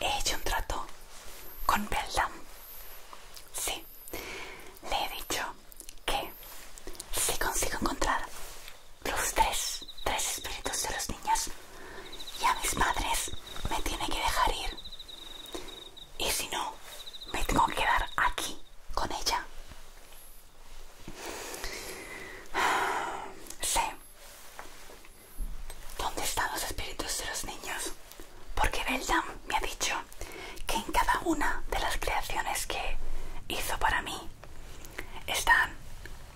he hecho un trato con Beldam. Sí, le he dicho que si consigo encontrar los tres, tres espíritus de los niños, y a mis madres me tiene que dejar ir. Y si no, me tengo que quedar aquí con ella. Sé dónde están los espíritus de los niños, porque Beldam me ha dicho que en cada una de las creaciones que hizo para mí están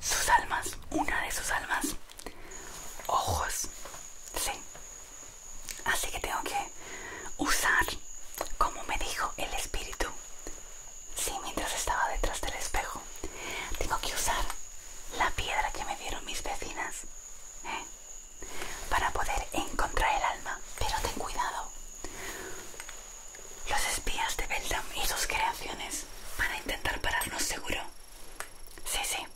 sus almas, una de sus almas ojos, sí. Así que tengo que usar, como me dijo el espíritu, sí, mientras estaba detrás del espejo, tengo que usar la piedra que me dieron mis vecinas ¿eh? para poder encontrar el alma. Pero ten cuidado. Los espías de Beldam y sus creaciones van a intentar pararnos seguro. Sí, sí.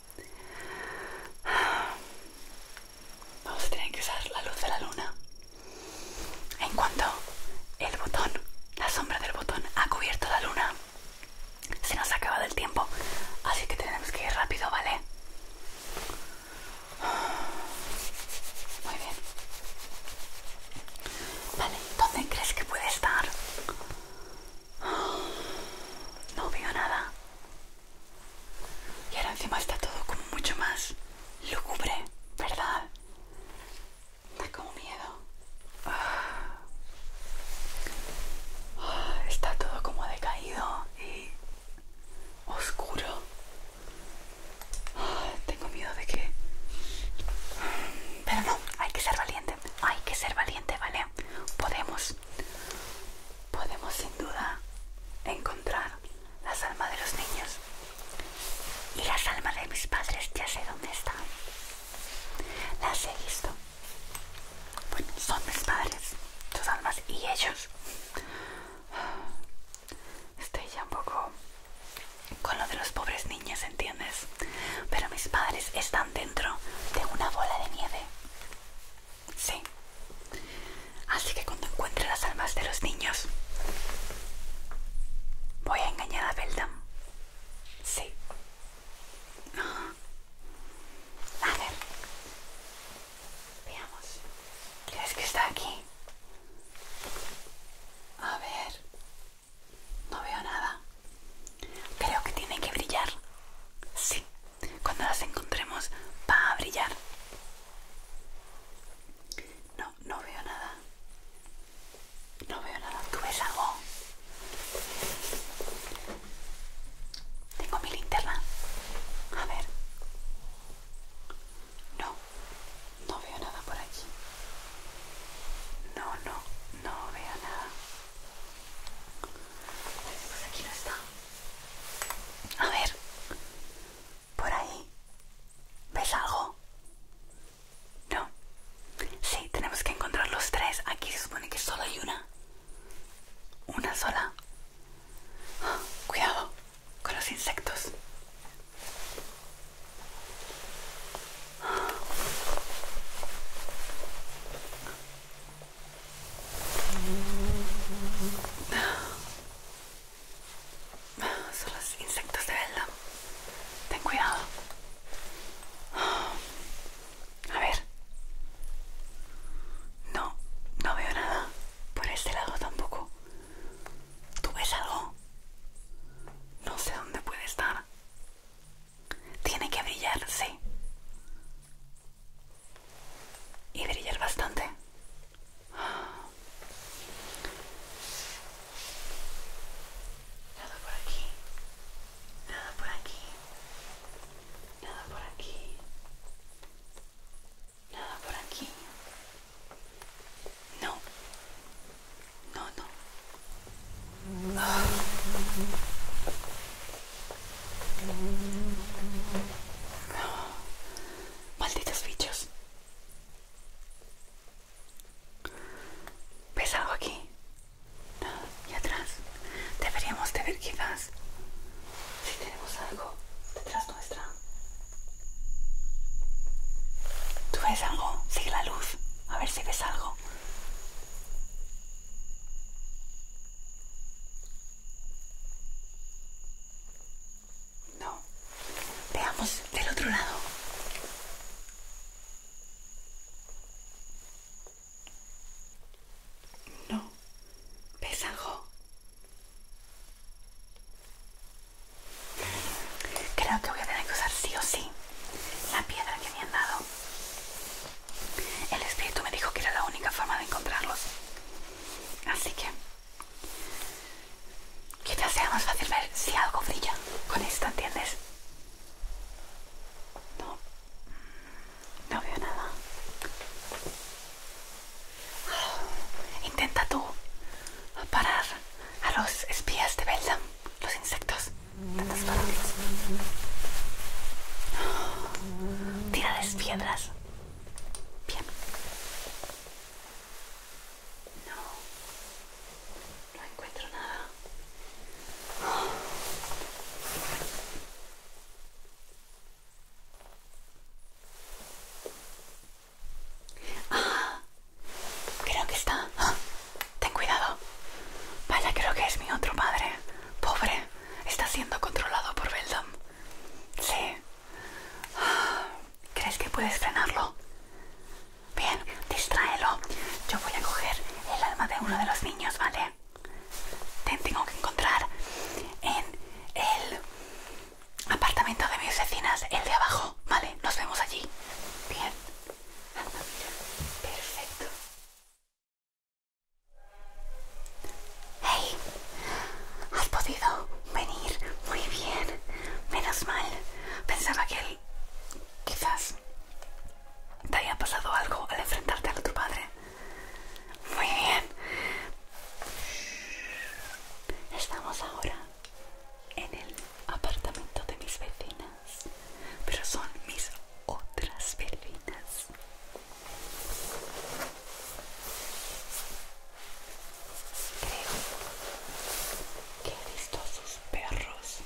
Vamos a tener que usar la luz de la luna. En cuanto el botón, la sombra del botón ha cubierto la luna, se nos ha acabado el tiempo, así que tenemos que ir rápido, ¿vale? Muy bien. Vale, ¿dónde crees que puede estar? No veo nada. Y ahora encima está todo como mucho más lúgubre, ¿verdad? Da como miedo. Ah, está todo como decaído y oscuro. Ah, tengo miedo de que... Pero no, hay que ser valiente. Hay que ser valiente, ¿vale? Podemos podemos sin duda encontrar las almas de los niños y las almas de mis padres ya sé dónde están las he visto bueno, son mis padres sus almas y ellos estoy ya un poco con lo de los pobres niños entiendes pero mis padres están dentro de una bola de nieve Sí. Así que cuando encuentre las almas de los niños, voy a engañar a Beldam. Sí. A ver. Veamos. ¿Crees que está aquí? A ver. No veo nada. Creo que tiene que brillar. Sí, cuando las encontremos va a brillar. No, no veo nada. No veo nada. ¿Tú ves algo? Tengo mi linterna. A ver. No, no veo nada por aquí. No, no, no veo nada. Pues aquí no está. A ver, por ahí. ¿Ves algo? No. Sí, tenemos que encontrar los tres. Aquí se supone que solo hay una. Una sola. cuidado con los insectos. Son los insectos de verdad. Ten cuidado. A ver. No, no veo nada. Por este lado tampoco. ¿Tú ves algo? No sé dónde puede estar. Tiene que brillar, sí. Y brillar bastante. Nada por aquí. Nada por aquí. Nada por aquí. Nada por aquí. No. No, no. Malditos bichos. ¿Ves algo aquí? Y atrás. Deberíamos de ver quizás si tenemos algo detrás nuestra. ¿Tú ves algo? Sigue la luz. A ver si ves algo. No. Veamos del otro lado. No. ¿Ves Creo que voy a tener que usar sí o sí la piedra que me han dado. El espíritu me dijo que era la única forma de encontrarlos. Así que quizás sea más fácil ver si algo brilla con esto, ¿entiendes? No, no veo nada. Intenta tú parar a los espías de Beldam, los insectos. Tira las piedras. No, no encuentro nada. Ah, creo que está. Ten cuidado. Vaya, creo que es mi otro padre. Pobre. Está siendo controlado por Beldam. Sí. ¿Crees que puedes frenarlo? Bien, distráelo. Yo voy a coger el alma de uno de los niños, ¿vale? tengo que encontrar en el apartamento de mis vecinas, el de abajo, ¿vale? Nos vemos allí. Bien. Perfecto. Hey, has podido venir muy bien. Menos mal. Pensaba que quizás te haya pasado algo al enfrentarte a tu padre. Muy bien. Estamos ahora en el apartamento de mis vecinas pero son mis otras perrinas Creo que he visto sus perros.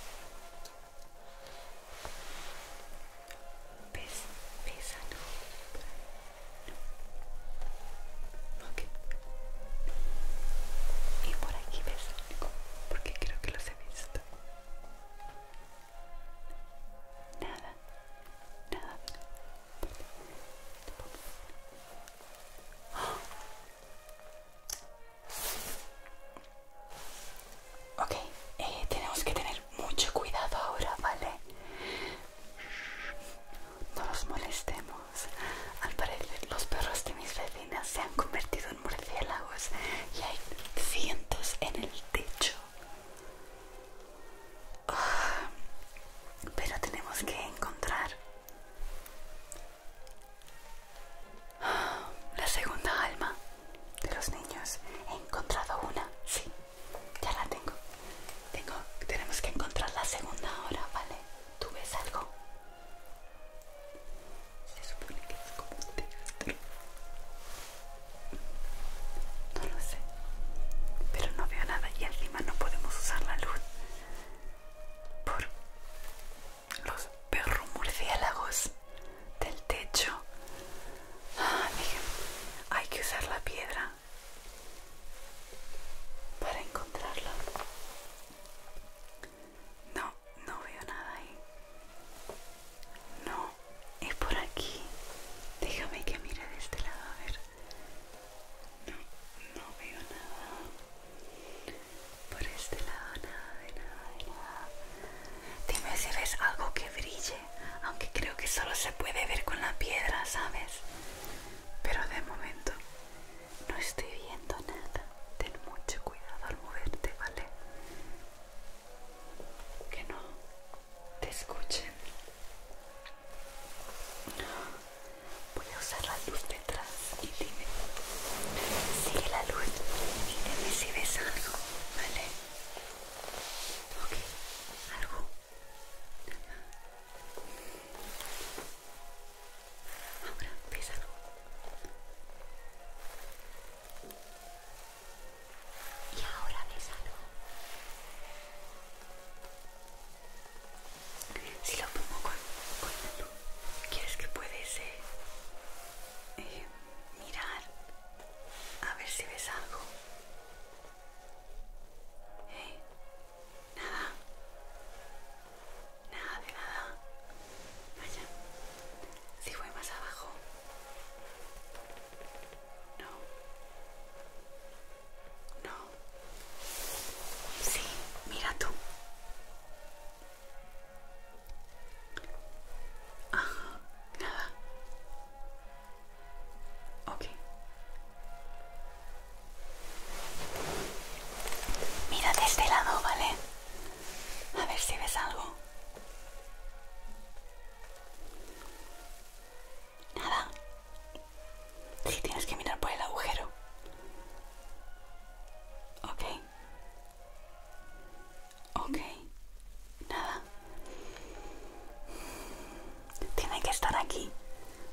¿Ves? Ah, y por aquí ves porque creo que los he visto. Nada, nada. Ok, eh, tenemos que tener mucho cuidado ahora, ¿vale? No nos molestemos. Al parecer los perros de mis vecinas se han convertido murciélagos y hay cientos en el techo. Ah, pero tenemos que encontrar la segunda alma de los niños. He encontrado una, sí, ya la tengo. Tengo, tenemos que encontrar la segunda ahora, ¿vale? ¿Tú ves algo? Se supone que es como un teatro. No lo sé. Pero no veo nada y encima no podemos usar la luz. Por los perros murciélagos del techo. Ah, hay que usar la piedra para encontrarla. No, no, veo nada ahí. No, es por aquí. Déjame que mire de este lado, a ver. No, no veo nada. Por este lado, nada, de nada, de nada. Dime si ves algo que brille, aunque creo que solo se puede ver con la piedra, ¿sabes? Pero de momento no estoy viendo nada. Ten mucho cuidado al moverte, ¿vale? que no te escuchen. Voy a usar la luz detrás y dime. Sigue la luz y dime si ves algo, ¿vale? Ok, algo. Ahora, ves algo. Y ahora algo? Si lo pongo con, ¿quieres que puedes eh, eh, mirar a ver si ves algo? Eh, nada. Nada de nada. Vaya. Si voy más abajo. No. No. Sí, mira tú. nada. Ok. Mira de este lado, ¿vale? A ver si ves algo. Nada. sí, tienes que mirar por el agujero. Ok. Ok. Nada. Tiene que estar aquí.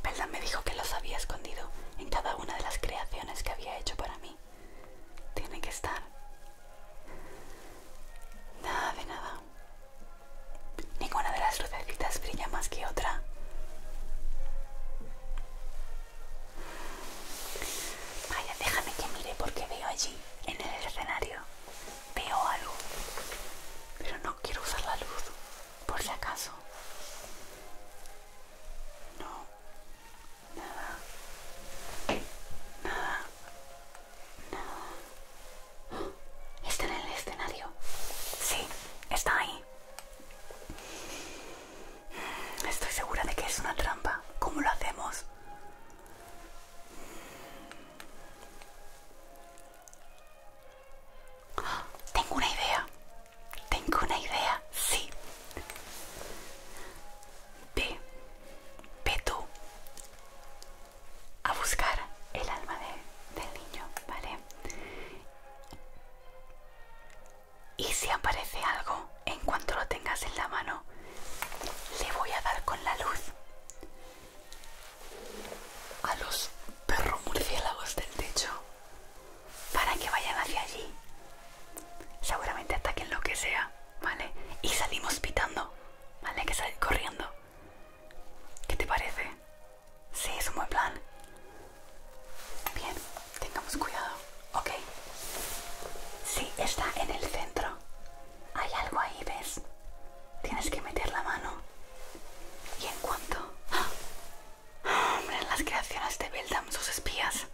perdón me dijo que los había escondido en cada una de las creaciones que había hecho para mí. Tiene que estar. Nada de nada. Ninguna de las lucecitas brilla más que otra. Vaya, déjame que mire porque veo allí, en el escenario, veo algo. Pero no quiero usar la luz, por si acaso. No, nada, nada, nada. Está en el escenario. Sí, está ahí. Estoy segura de que es una trampa. ¿Cómo lo hacemos? Tengo una idea. Tengo una idea. Sí. Ve, ve tú a buscar el alma del niño, ¿vale? Y si aparece algo, en cuanto lo tengas en la mano, le voy a dar con la luz a los perros murciélagos del techo para que vayan hacia allí Seguramente ataquen lo que sea, ¿vale? Y salimos pitando, ¿vale? que salir corriendo. ¿Qué te parece? Sí, es un buen plan. Bien, tengamos cuidado, ¿ok? Sí, está en el centro. Hay algo ahí, ¿ves? Tienes que meter la mano. Y en cuanto... ¡ah! Hombre, las creaciones de Beldam, sus espías.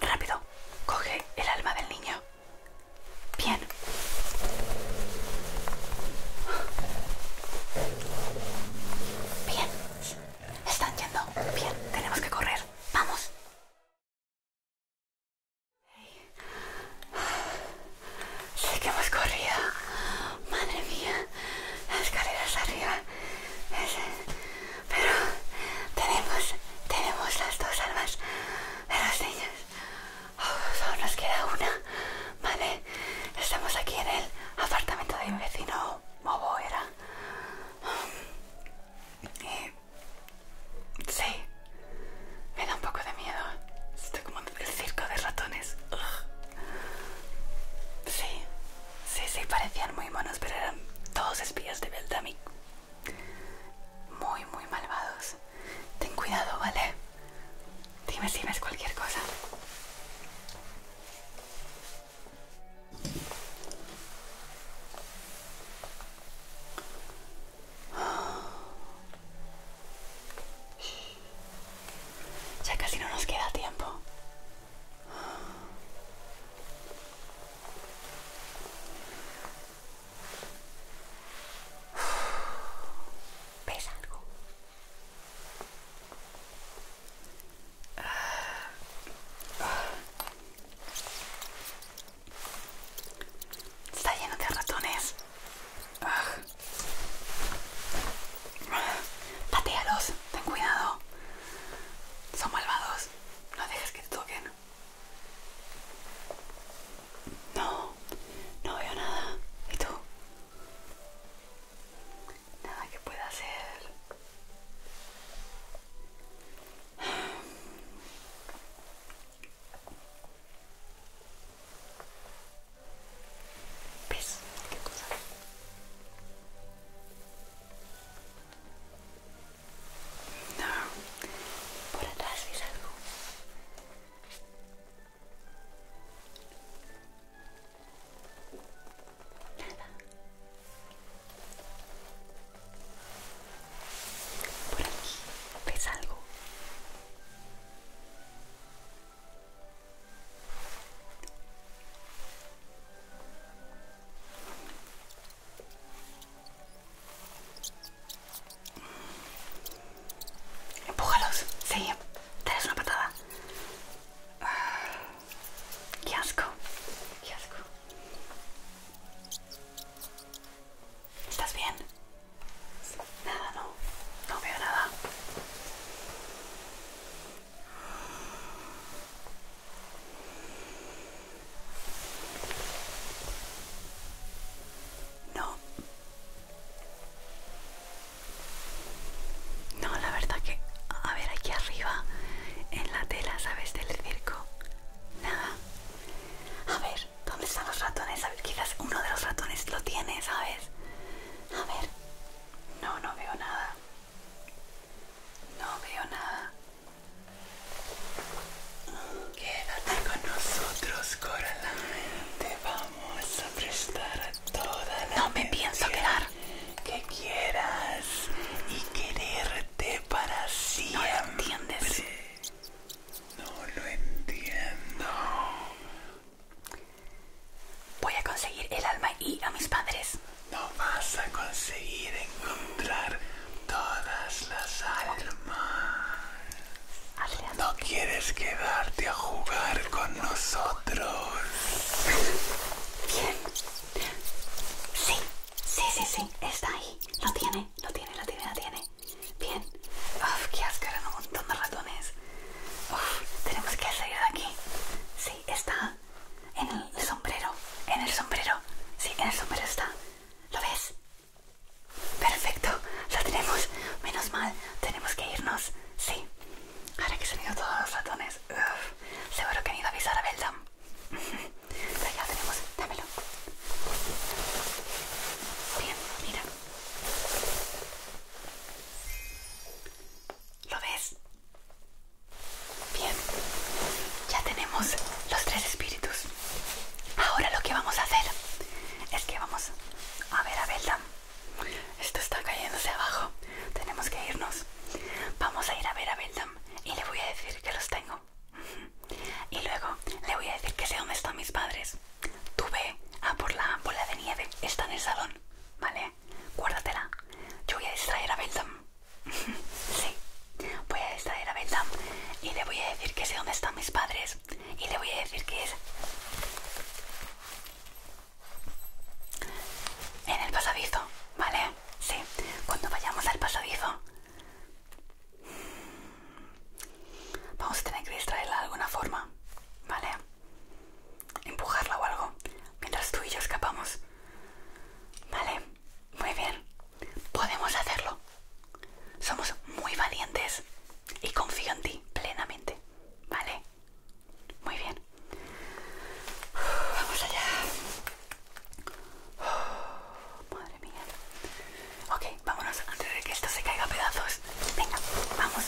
Rápido, coge el alma del niño. Bien. Bien. Están yendo. Bien. Tenemos que correr. Vamos. Sí que hemos corrido. Madre mía. Las escaleras arriba. ese pero tenemos, tenemos las dos almas de los niños. Oh, solo nos queda una, ¿vale? Estamos aquí en el apartamento de mi vecino Mobo, era. sí, me da un poco de miedo. Estoy como el circo de ratones. Sí, sí, sí, parecían muy monos, pero eran todos espías de Beldami muy, muy malvados. Ten cuidado, ¿vale? Dime si ves cualquier cosa. Ya casi no nos queda tiempo. ¿Ves Está lleno de ratones. Patealos, ten cuidado. Son malvados. No dejes que te toquen. No, no veo nada. ¿Y tú? Nada que pueda hacer. No. Por atrás ves algo. Nada. Por aquí ves algo. Empújalos, sí, dales una patada. Qué asco, qué asco. ¿Estás bien? Nada, no, no veo nada. No. No, la verdad que... A ver, aquí arriba, en la tela, ¿sabes? Del circo. Nada. A ver, ¿dónde están los ratones? A ver, quizás uno de los ratones lo tiene, ¿sabes? A ver. No, no veo nada. No veo nada. Quédate con nosotros, Coraline. Te vamos a prestar toda la No me pienso quedar. Que quieras y quererte para siempre. No lo entiendes. No lo entiendo. Voy a conseguir el alma y a mis padres. No vas a conseguir encontrar todas las almas. ¿No quieres quedarte a jugar con nosotros? Bien. Sí, sí, sí, sí. Está ahí. Lo tiene, lo tiene, lo tiene, lo tiene. Bien. Uf, qué asco, un montón de ratones. Uf, tenemos que salir de aquí. Sí, está en el sombrero. En el sombrero. Sí, en el sombrero está. ¿Lo ves? Perfecto, lo tenemos. Menos mal, tenemos que irnos. Sí. Ahora que se han ido todos los ratones. seguro que han ido a avisar a Beldam. ya tenemos, dámelo. Bien, mira. ¿Lo ves? Bien, ya tenemos los tres espíritus. Ahora lo que vamos a hacer es que vamos a ver a Beldam. Esto está cayéndose abajo. Tenemos que irnos. Vamos a ir a ver a Beldam y le voy a decir que los tengo. Y luego le voy a decir que sé dónde están mis padres. Tú ve a por la bola de nieve. Está en el salón. ¿Vale? Guárdatela. Yo voy a distraer a Beldam. Sí, voy a distraer a Belta y le voy a decir que sé dónde están mis padres y le voy a decir que es en el pasadizo, ¿vale? Sí, cuando vayamos al pasadizo vamos a tener que distraerla de alguna forma, ¿vale? Empujarla o algo mientras tú y yo escapamos, ¿vale? Muy bien, podemos hacerlo. Somos muy valientes y confío en ti plenamente, ¿vale? Muy bien. Vamos allá. madre mía. Ok, vámonos antes de que esto se caiga a pedazos. Venga, vamos.